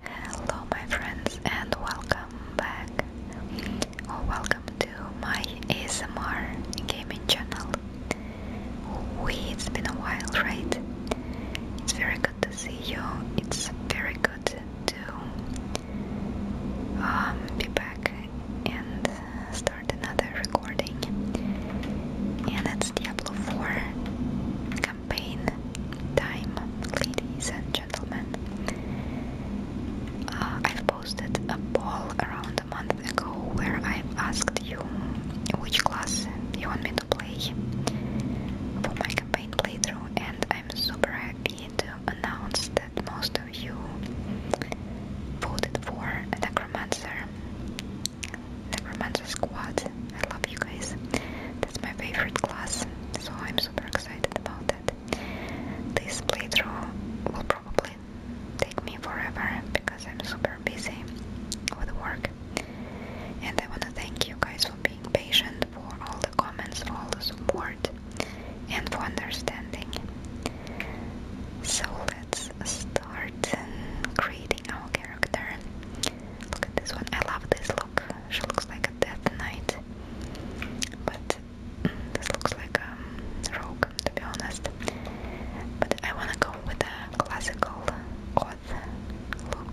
Hello my friends and welcome back oh, welcome to my ASMR gaming channel. We it's been a while, right? It's very good to see you. It's very good to um, be back and start another recording. And that's Diablo 4 campaign time, ladies and gentlemen. Uh, I've posted a poll around a month ago where I asked you which class you want me to play for my campaign playthrough, and I'm super happy to announce that most of you voted for Necromancer. Necromancer Squad I love you guys. That's my favorite class, so I'm super excited about that. This playthrough will probably take me forever because I'm super busy with work. And I want to thank you guys for being patient, for all the comments, all the support, and for understanding. So let's start creating our character. Look at this one. I love this look look. She looks like a death knight, but mm, this looks like a rogue, to be honest. But I wanna go with a classical goth look.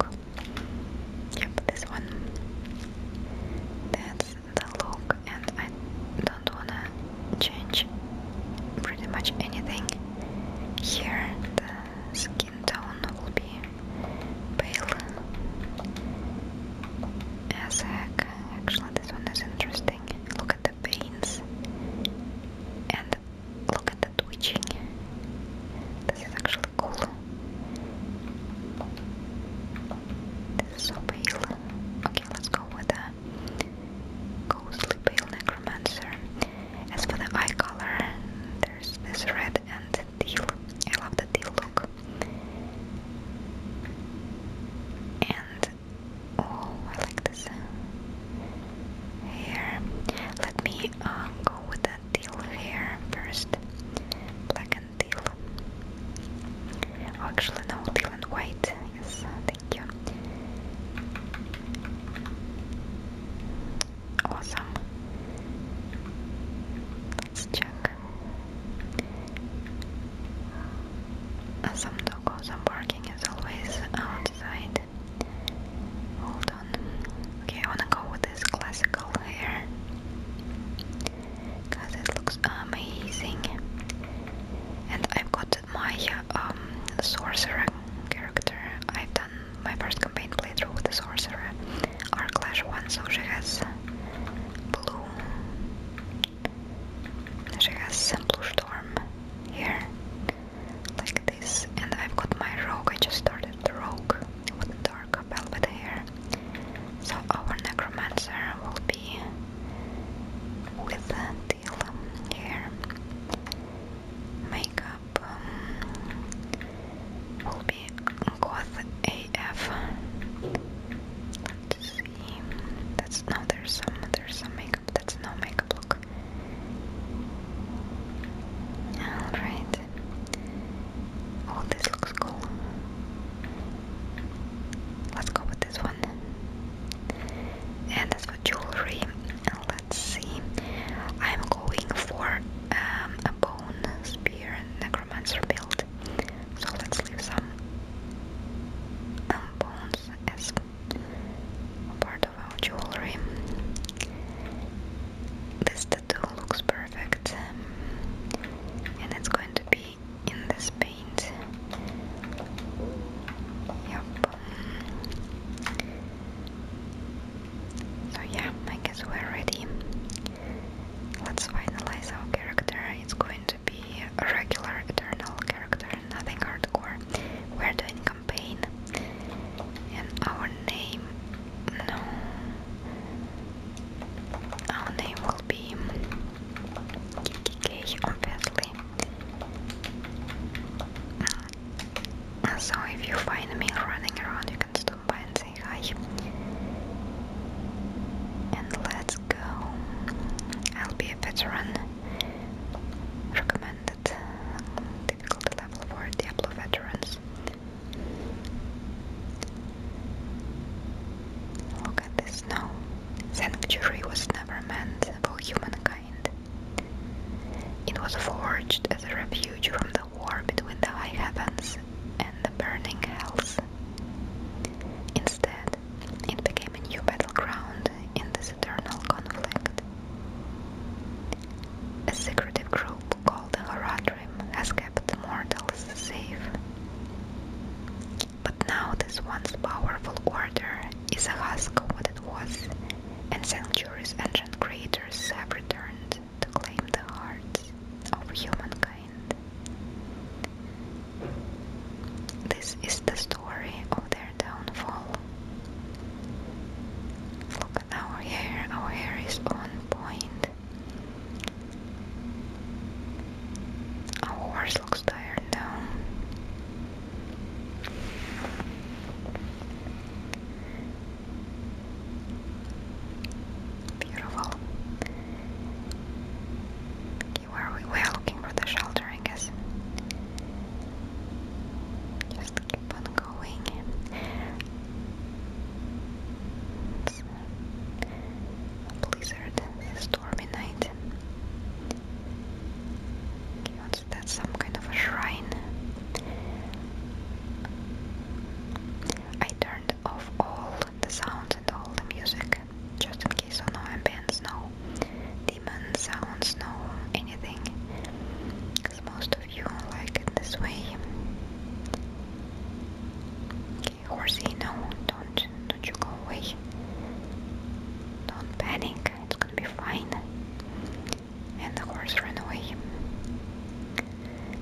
Yep, this one. That's the look, and I don't wanna change pretty much anything here skin tone will be pale as heck. Actually, this one is interesting. Look at the veins and look at the twitching. This is actually cool. This is so pale. Okay, let's go with a ghostly pale necromancer. As for the eye color, there's this red and the teal. I love the teal look. And oh, I like this hair. Let me um, go with the teal hair first. Black and teal. Oh, actually, no, teal and white. Yes, thank you. Awesome check. Uh, some doggos are barking as always outside. Hold on. Okay, I wanna go with this classical hair. Cause it looks amazing. And I've got my um, sorcerer character. I've done my first campaign playthrough with the sorcerer. Our clash one, so she has blue. She has blue storm here, like this, and I've got my rogue. I just started the rogue with dark velvet hair, so our necromancer will be with teal hair. Makeup um, will be goth a AF. Let's see. That's no. There's some. There's some makeup. That's no makeup look. All right. Oh, this looks cool. Let's go with this one. And that's for jewelry. Let's see. I'm going for um, a bone spear and build. So let's leave some um, bones as part of our jewelry. This tattoo looks perfect um, and it's going to be in this paint. Yep. So yeah, I guess we're ready. Let's finalize our character. It's going to be a regular eternal character, nothing hardcore. We're doing campaign. And our name no our name will be KKK obviously. Uh, so if you find me running around you can and say hi. And let's go. I'll be a veteran. Recommended difficulty level for Diablo veterans. Look at this now. Sanctuary was never meant for humankind. It was forged as a refuge from the the war between the high heavens and the burning hells. Instead, it became a new battleground in this eternal conflict. A secretive group called the Horadrim has kept mortals safe. But now this once powerful order is a husk of what it was, and Sanctuary's ancient creators have returned to claim the hearts of humankind. This is the story of their downfall. Look at our hair, our hair is on point. Our horse looks tired now. Beautiful. Okay, are we? are looking for the shelter, guess. Just keep on going. blizzard, stormy night. Okay, Some kind of a shrine. I turned off all the sounds and all the music, just in case of no ambience, no demon sounds, no anything. Because most of you like it this way. Okay, horsey, no, don't, don't you go away. Don't panic, it's gonna be fine. And the horse ran away.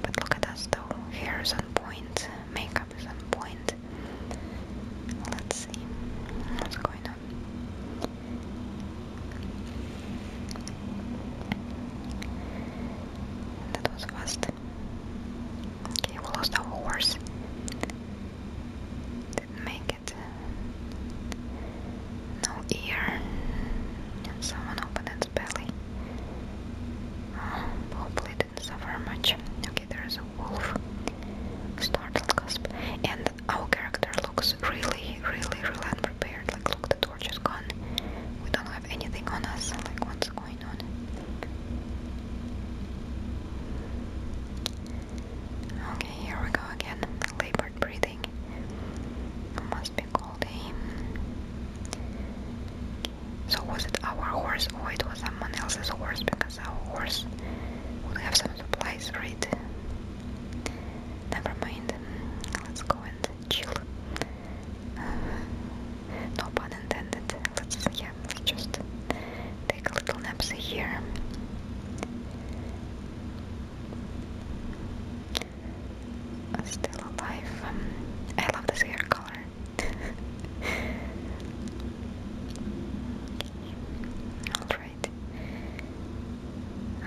But look at us though, Here's on point, makeup is on point. Let's see what's going on. That was fast. Okay, we lost our horse. did make it. No ear. someone opened its belly. Oh, hopefully suffer much. Okay, there is a wolf. Startled gasp. And our character looks really, really, really unprepared. Like, look, the torch is gone. We don't have anything on us. Like, what's going on? Okay, here we go again. Labored breathing. must be cold, eh? So was it our horse or it was someone else's horse because our horse would have some supplies, right? Never mind. Let's go and chill. Uh-huh. no pun intended. Let's yeah, let's just take a little nap here. Still alive. I love this hair color. Alright.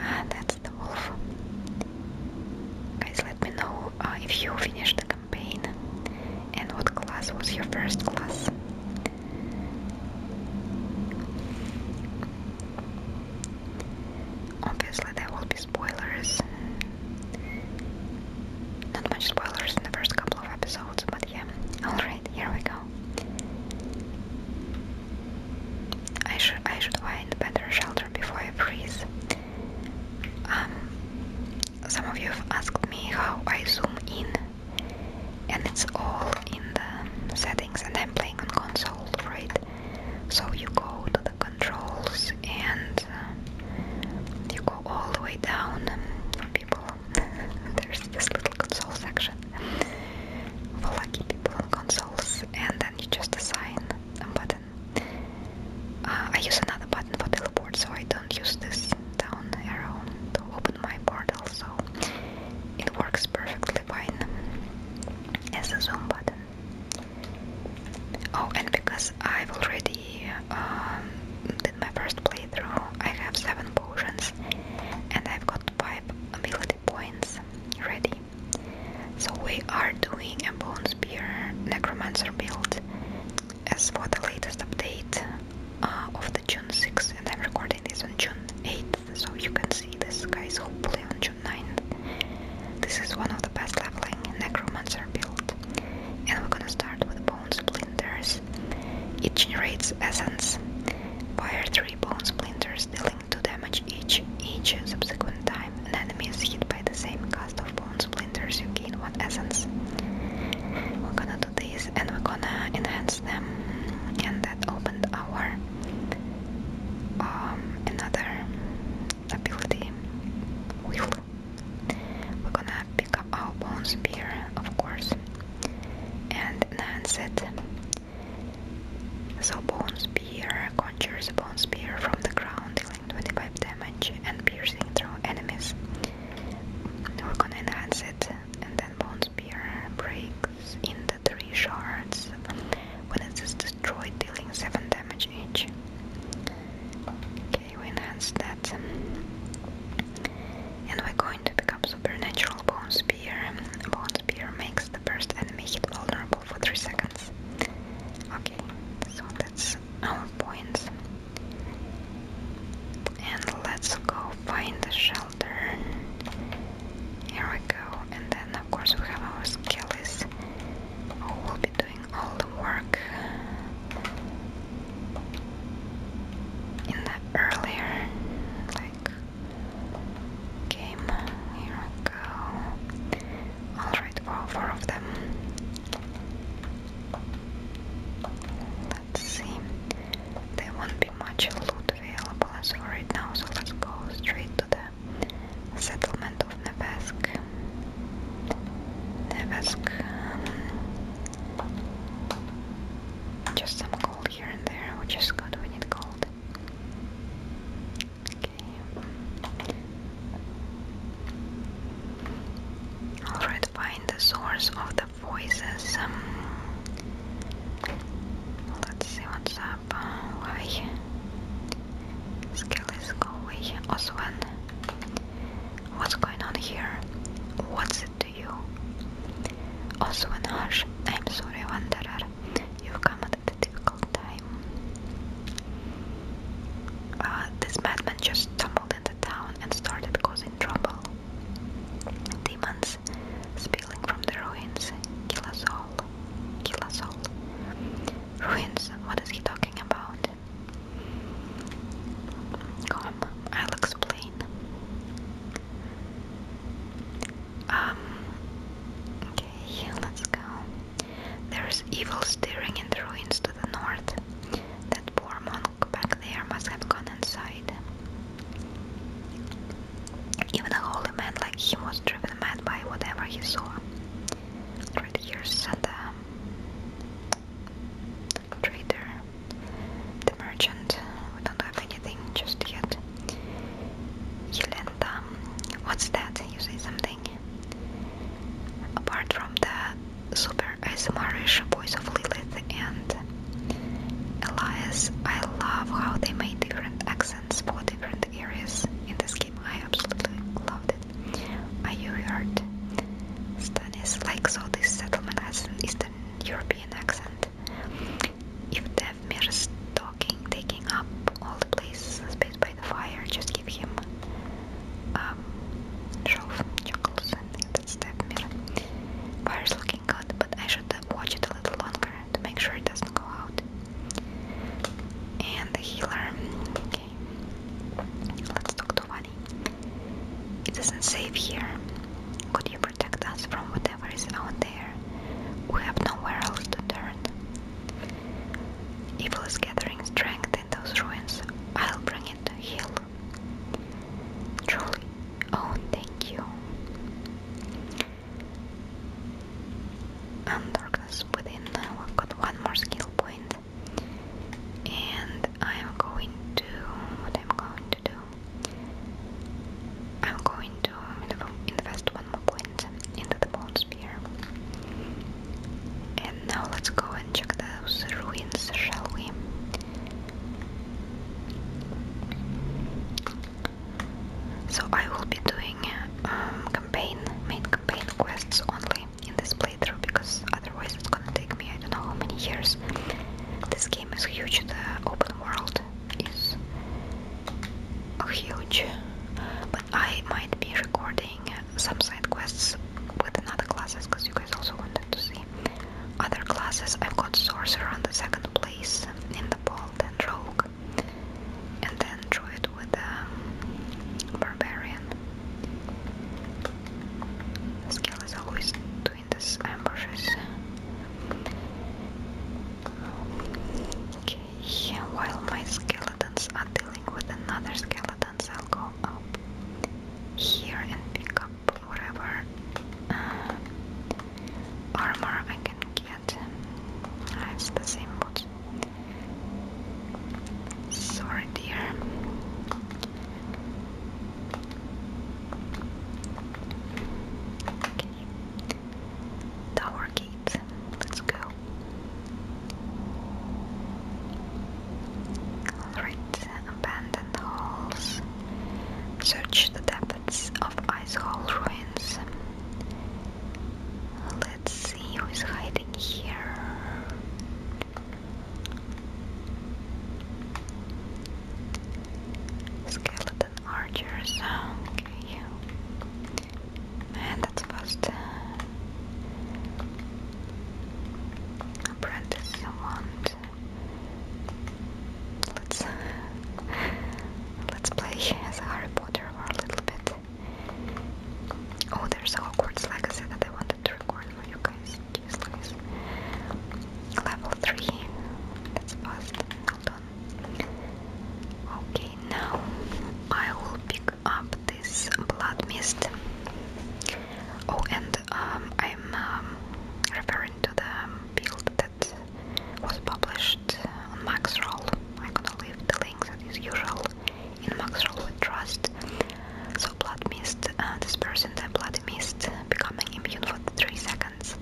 Ah, that's the wolf. Guys, let me know uh, if you finished the campaign and what class was your first class. Obviously, there will be spoilers not much spoilers in the first couple of episodes, but yeah. Alright, here we go. I should I should find better shelter before I freeze. Um some of you have asked me how I zoom in and it's all in the settings and I'm playing on console, right? So you go to the controls and and you go all the way down um, for people. There's this little console section for lucky people on consoles, and then you just assign a button. Uh, I use another button for teleport, so I don't use this down arrow to open my portal, so it works perfectly fine as a zoom button. Oh, and because I've already um, the my first playthrough I have seven potions and I've got five ability points ready. So we are doing a bone spear necromancer build as for the latest update uh, of the June 6th and I'm recording this on June 8th so you can see this guys hopefully on June 9th. This is one of the best leveling necromancer build and we're gonna start with bone splinters. It generates essence. Fire three bone splinters, dealing two damage each. Each subsequent time an enemy is hit by the same cast of bone splinters, you gain one essence. We're gonna do this and we're gonna enhance them. And that opened our um, another ability will. We're gonna pick up our bone spear, of course, and enhance it. So bone spear conjures a bone spear from the ground, dealing 25 damage and piercing through enemies. We're gonna enhance it, and then bone spear breaks into three shards when it is destroyed, dealing 7 damage each we enhance that. And we're going to pick up Supernatural Bone Spear. Bone Spear makes the first enemy hit vulnerable for 3 seconds. Okay, so that's our points. And let's go find the shelter. Here we go. And then, of course, we have our skills. Oh, we'll be doing all the work in the earlier game. Here we go. Alright, all four of them. Let's see. There won't be much loot available as now, so let's go straight to the settlement of Nevesk. Nevesk. Um, just some gold here and there, which is good, we need gold. Okay. Alright, find the source of the voices. Um, let's see what's up. Uh, Skill is going. Oswan. What's going on here? What's it to you? Also, in Hush, I'm sorry, Wanderer. You've come at a difficult time. Uh, this madman just stumbled into town and started causing trouble. Demons spilling from the ruins. Kill us all. Kill us all. Ruins? What is he talking about? Come, I'll explain. Um, okay, let's go. There's evil stirring in the ruins to the north. That poor monk back there must have gone inside. Even a holy man like him was driven mad by whatever he saw. Right here, Santa trader, the merchant. We don't have anything just yet. Yelenda, what's that? You say something. Apart from the super ASMRish voice of Lilith and Elias, I love how they made different accents for different areas in this game. I absolutely loved it. Are you heard? Stanis likes all this settlement has an Eastern European accent. If Devmir's talking, taking up all the places, space by the fire, just give him um, shove, chuckles, I that's Devmir. Fire's looking good, but I should watch it a little longer to make sure it doesn't go out. And the healer Let's talk to Wally. It isn't safe here. Could you protect us from whatever is out there? We have nowhere else to turn. Evil is gathering strength in those ruins. I'll bring it to heel. Truly. Oh, thank you. And darkness within. Uh, we've got one more skill point and I'm going to what I'm going to do I'm going to invest one more point into the bone spear and now let's go and check those ruins shall we so I will be doing um, campaign main campaign quests only in this playthrough because otherwise it's gonna take me I don't know how many years. This game is huge, the open world is huge. But I might be recording some side quests with another classes because you guys also wanted to see other classes. I've got sorcerer on the second place in the poll, then rogue, and then druid with the um, barbarian. This is always doing these ambushes. Okay, while my skeletons are dealing with another skeletons, I'll go up here and pick up whatever uh, armor I can get. it's the same boot. Sorry, dear. Tower gate. Let's go. Alright, abandoned halls. Search the depths of ice hall ruins. Let's see who is hiding here. Skeleton archers, okay. Man, that's fast. Apprentice, someone. Let's let's play as Harry Potter for a little bit. Oh, there's awkward like I said that I wanted to record for you guys. Level 3. That's fast. Hold on. Okay, now I will pick up this blood mist. Oh, and um, I'm um, referring to the build that was published on Maxroll. I'm gonna leave the links as usual in Maxroll Trust. So blood mist, uh, dispersing the blood mist, becoming immune for 3 seconds.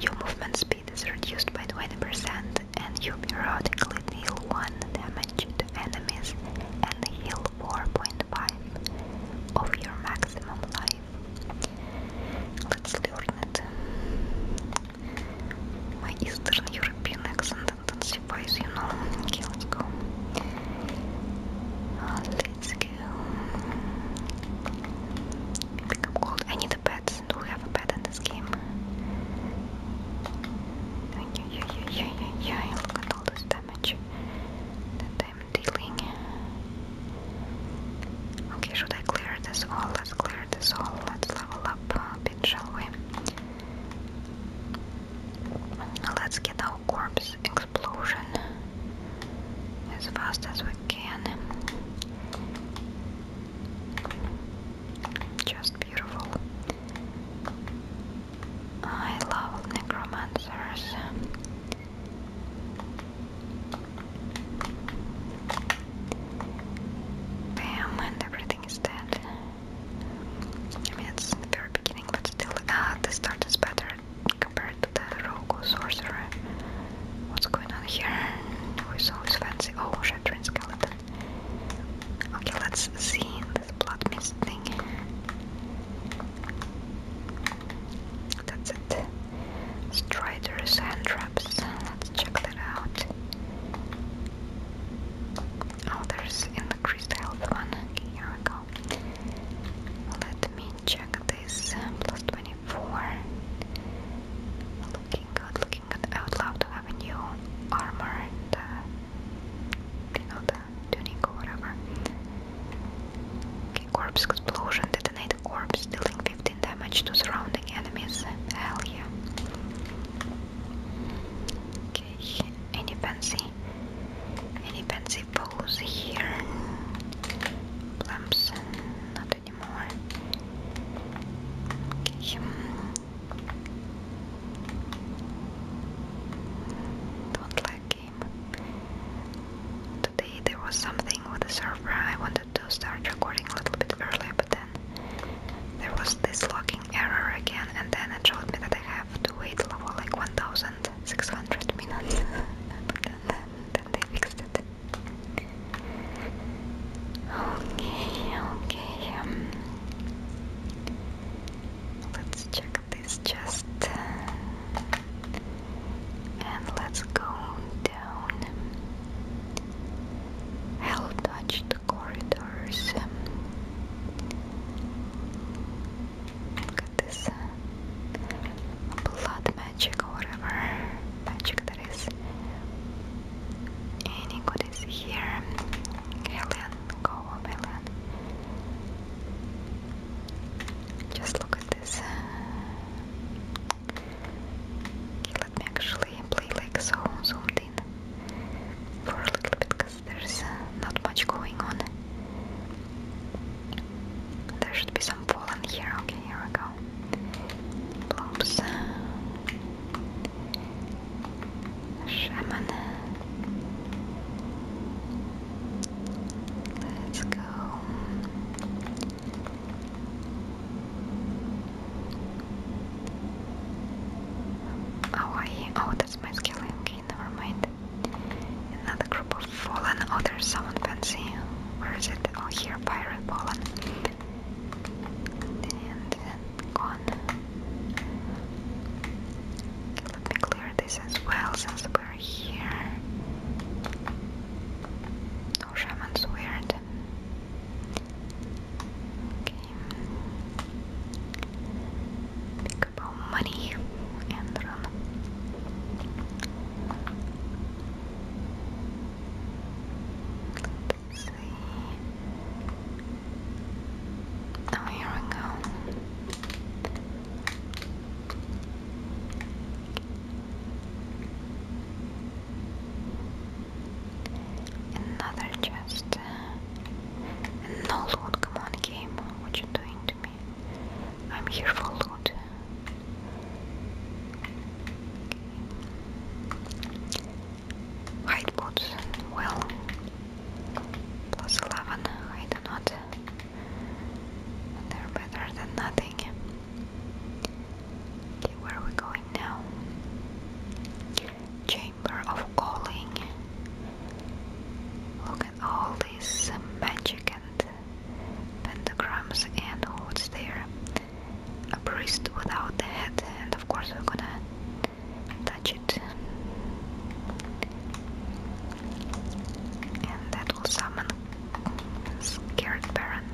Your movement speed is reduced by 20% and you periodically deal 1 damage to enemies and heal 4.5 of your maximum life. Let's learn it. My Eastern European accent surprise you know. Okay, let go. I need a pet. Do we have a pet in this game? Look at all this damage that I'm dealing. Okay, should I clear this all? Let's clear this all. Let's level up a bit, shall we? Let's get our corpse explosion as fast as we can. Just beautiful. I love necromancers. Bam, and everything is dead. I mean, it's the very beginning, but still, ah, the start is better compared to the Rogue sorcerer. What's going on here? Who's always fancy? Oh, shattering skeleton. Okay, let's see this blood mist thing. That's it. Striders and traps. Let's check that out. Oh, there's increased health one. here we go. Let let me check this um, plus 24 looking good looking good I would armor uh, you know the tuning or whatever okay corpse explosion detonate corpse dealing 15 damage to surrounding enemies hell yeah okay any fancy any fancy suppose here in not anymore. Don't like game. Today there was something with the server. I wanted to start recording a little bit early, but then there was this logging error again, and then it told me that I have to wait for like 1000 600 minutes, but then, then they fixed it. Okay, okay. Um, let's check this chest, and let's go down. I'll corridors. Look at this uh, blood magic or whatever magic that is. Any good is here. Alien, go on, alien. Just look at this. let me actually play like so, zoomed in for a little bit there's uh, not much going on. There should be some pollen here. Okay, here we go. Blooms. Shaman. Let's go. Oh, I, oh, that's my skill. Okay, never mind. Another group of fallen others sound fancy. Where is it? Oh here, pirate fallen. And then gone. Let me clear this as well since we're here. No shaman's weird. Okay about money and run. Oh, here we go. Another chest. No loot, come on, game. What you doing to me? I'm here for loot. Okay. boots, well, plus 11, I do not. They're better than nothing. Okay, where are we going now? Chamber of Calling. Look at all this magic and pentagrams and holds there a priest without a head and of course we're gonna touch it and that will summon scared baron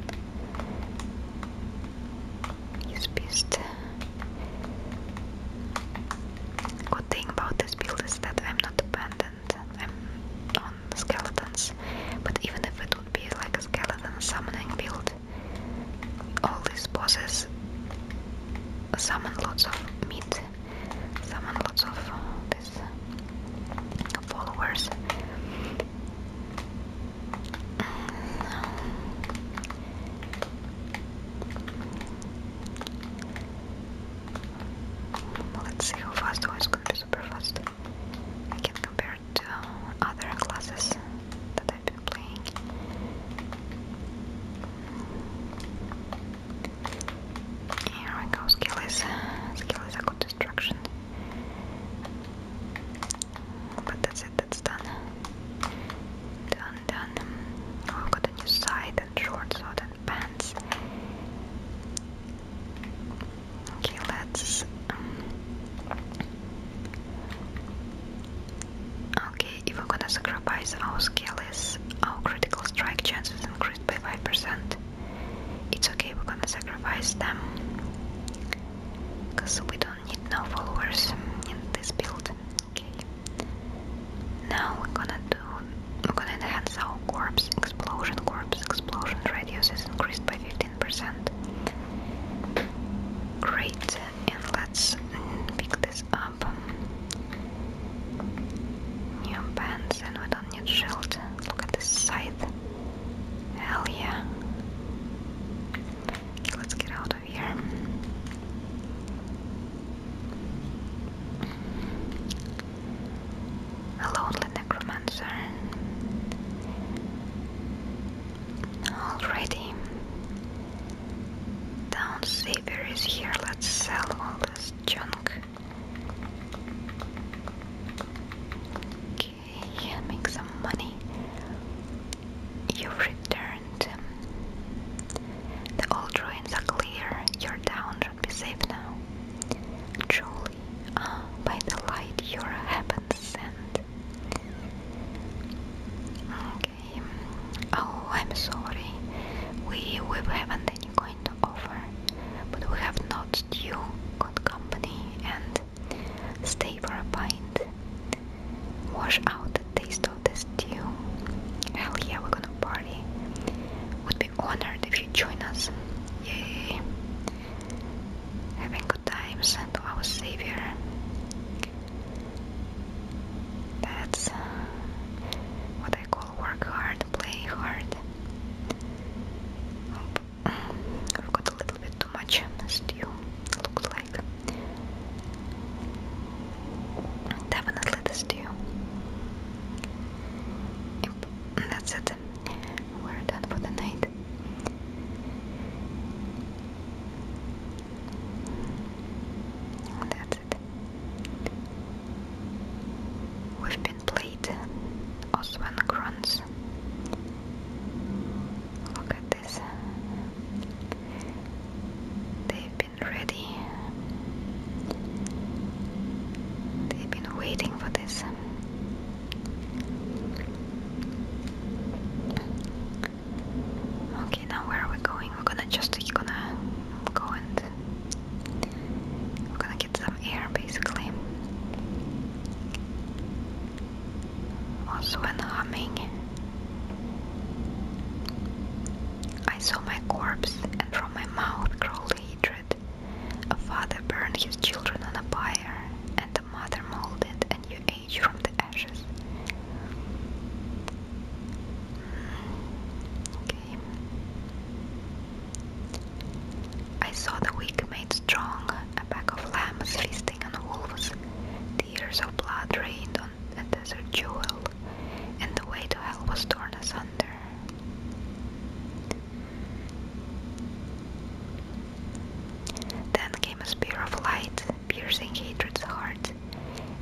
his beast good thing about this build is that I'm not abandoned and I'm on skeletons. But even if it would be like a skeleton summoning build, all these bosses summon lots of meat, summon lots of these followers. Let's see how fast was going to be super fast. I can compare it to other classes that I've been playing. Here we go, skill is skill is a good distraction. But that's it, that's done. Done, done. Oh, I've got a new side and short, so Okay, let's. Um, okay, if we're gonna sacrifice our skill, is our critical strike chance is increased by 5%. It's okay, we're gonna sacrifice them. Because we don't need no followers in this build. Okay. Now we're gonna do. Looking ahead, saw corpse explosion, corpse explosion radius is increased by 15%. Great, and let's pick this up. New pants, and we don't need shield. Look at this scythe. Hell yeah. let's get out of here. A lonely necromancer. Already. Down Savior is here. Let's sell all this junk. Okay, make some money. You've returned. The old ruins are clear. Your town Should be safe now. Joel by the light your heavens sent. Okay. Oh, I'm sorry. We we haven't any kind to offer, but we have not you good company and stay for a pint. Wash out the taste of the stew. Hell yeah, we're gonna party party. Would be honored if you join us. Yay! Having good times to our savior. That's uh, what I call work hard, play hard. I've got a little bit too much stew, looks like. Definitely the stew. Yep, that's it. We're done for the night. That's it. We've been played Osman Grunts. Look at this. They've been ready. They've been waiting for this. Okay, now where are we going? We're gonna just gonna go and we're gonna get some air basically. Also an humming. I saw my corpse and from my mouth crawled hatred. A father burned his children on a pyre, and a mother molded a new age from the ashes. I saw the weak made strong, a pack of lambs feasting on wolves, tears of blood rained on a desert jewel, and the way to hell was torn asunder. Then came a spear of light, piercing hatred's heart,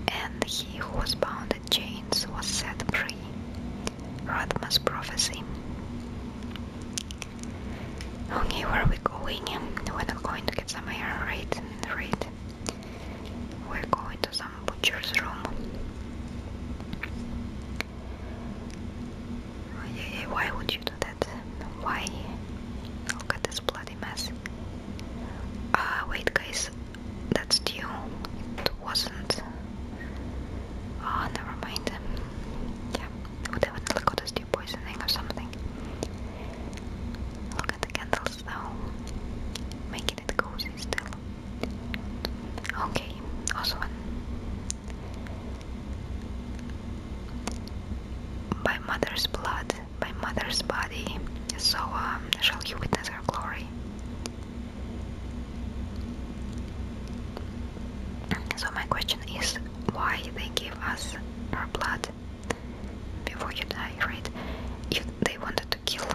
and he who was bound in chains was set free. Rodma's prophecy. Okay, where are we going? We're not going to get some air, right? Right. We're going to some butcher's room yeah, why would you do that? Why? Look at this bloody mess. Ah, wait, guys, that's due. It wasn't. Ah, never mind. Yeah, we definitely got a stew poisoning or something. Look at the candles now, making it cozy still. Okay, also one by mother's blood, by mother's body, so um, shall you witness her glory. So my question is, why they give us her blood before you die, right? You, they wanted to kill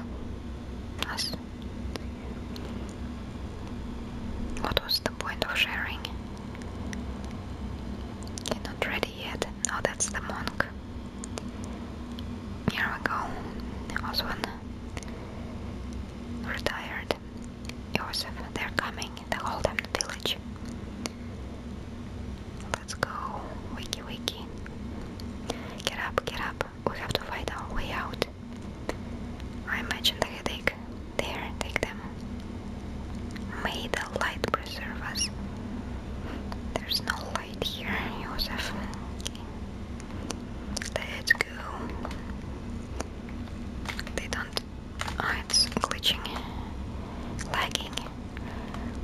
us. What was the point of sharing? You're not ready yet. Oh, that's the monk. Here we go. one retired. Joseph, they're coming. The whole damn village. Let's go. Wiki wiki. Get up, get up. We have to find our way out. I imagine the headache. There, take them. May the light preserve us. There's no light here, Joseph. Let's go. They don't. Oh, it's glitching. Lagging.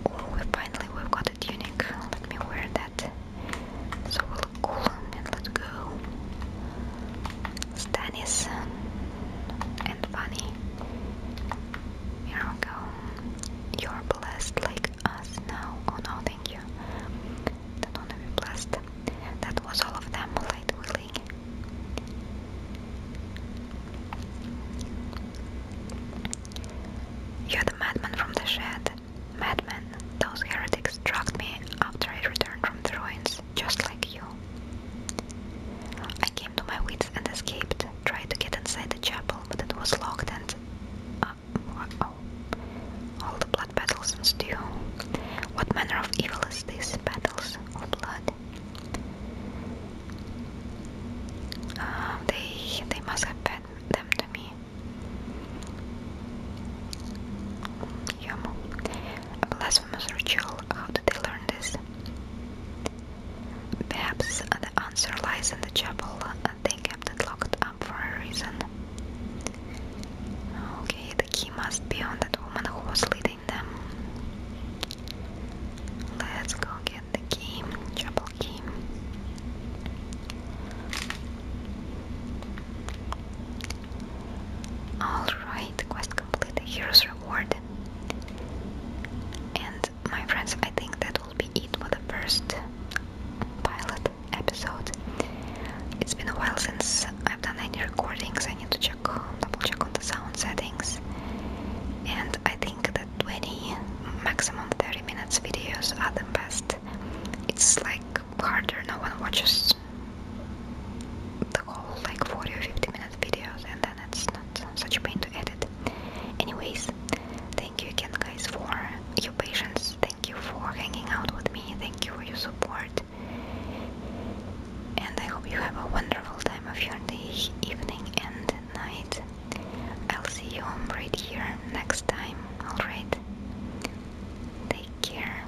Oh, we finally we've got a tunic. Let me wear that. Coulomb and let go. Stannis and Bunny. you're blessed like us now. Oh no, thank you. Don't be blessed. That was all of them, light willing. You're the madman from the shed. Madman, those heretics struck me after I returned from the ruins just like you. I came to my wits and escaped, tried to get inside the chapel, but it was locked and... Uh, oh, all the blood battles steel. What manner of evil is this? Battles of blood? Um, they, they must have fed them to me. Yum. A blasphemous ritual? How did they learn this? Perhaps the answer lies in the chapel. They kept it locked up for a reason. Okay, the key must be on that woman who was leading them. Let's go get the key, chapel key. Alright, quest complete, hero's reward. And my friends, I think that will be it for the first pilot episode. It's been a while since I've done any recordings. I need to check, double check on the sound settings. And I think that 20, maximum 30 minutes videos are the best. It's like harder, no one watches the whole like 40 or 50 minute videos and then it's not such a pain to edit. Anyways, thank you again guys for your patience, thank you for hanging out with me, thank you for your support. And I hope you have a wonderful time of your day, evening and night. I'll see you right here next time, alright? Take care.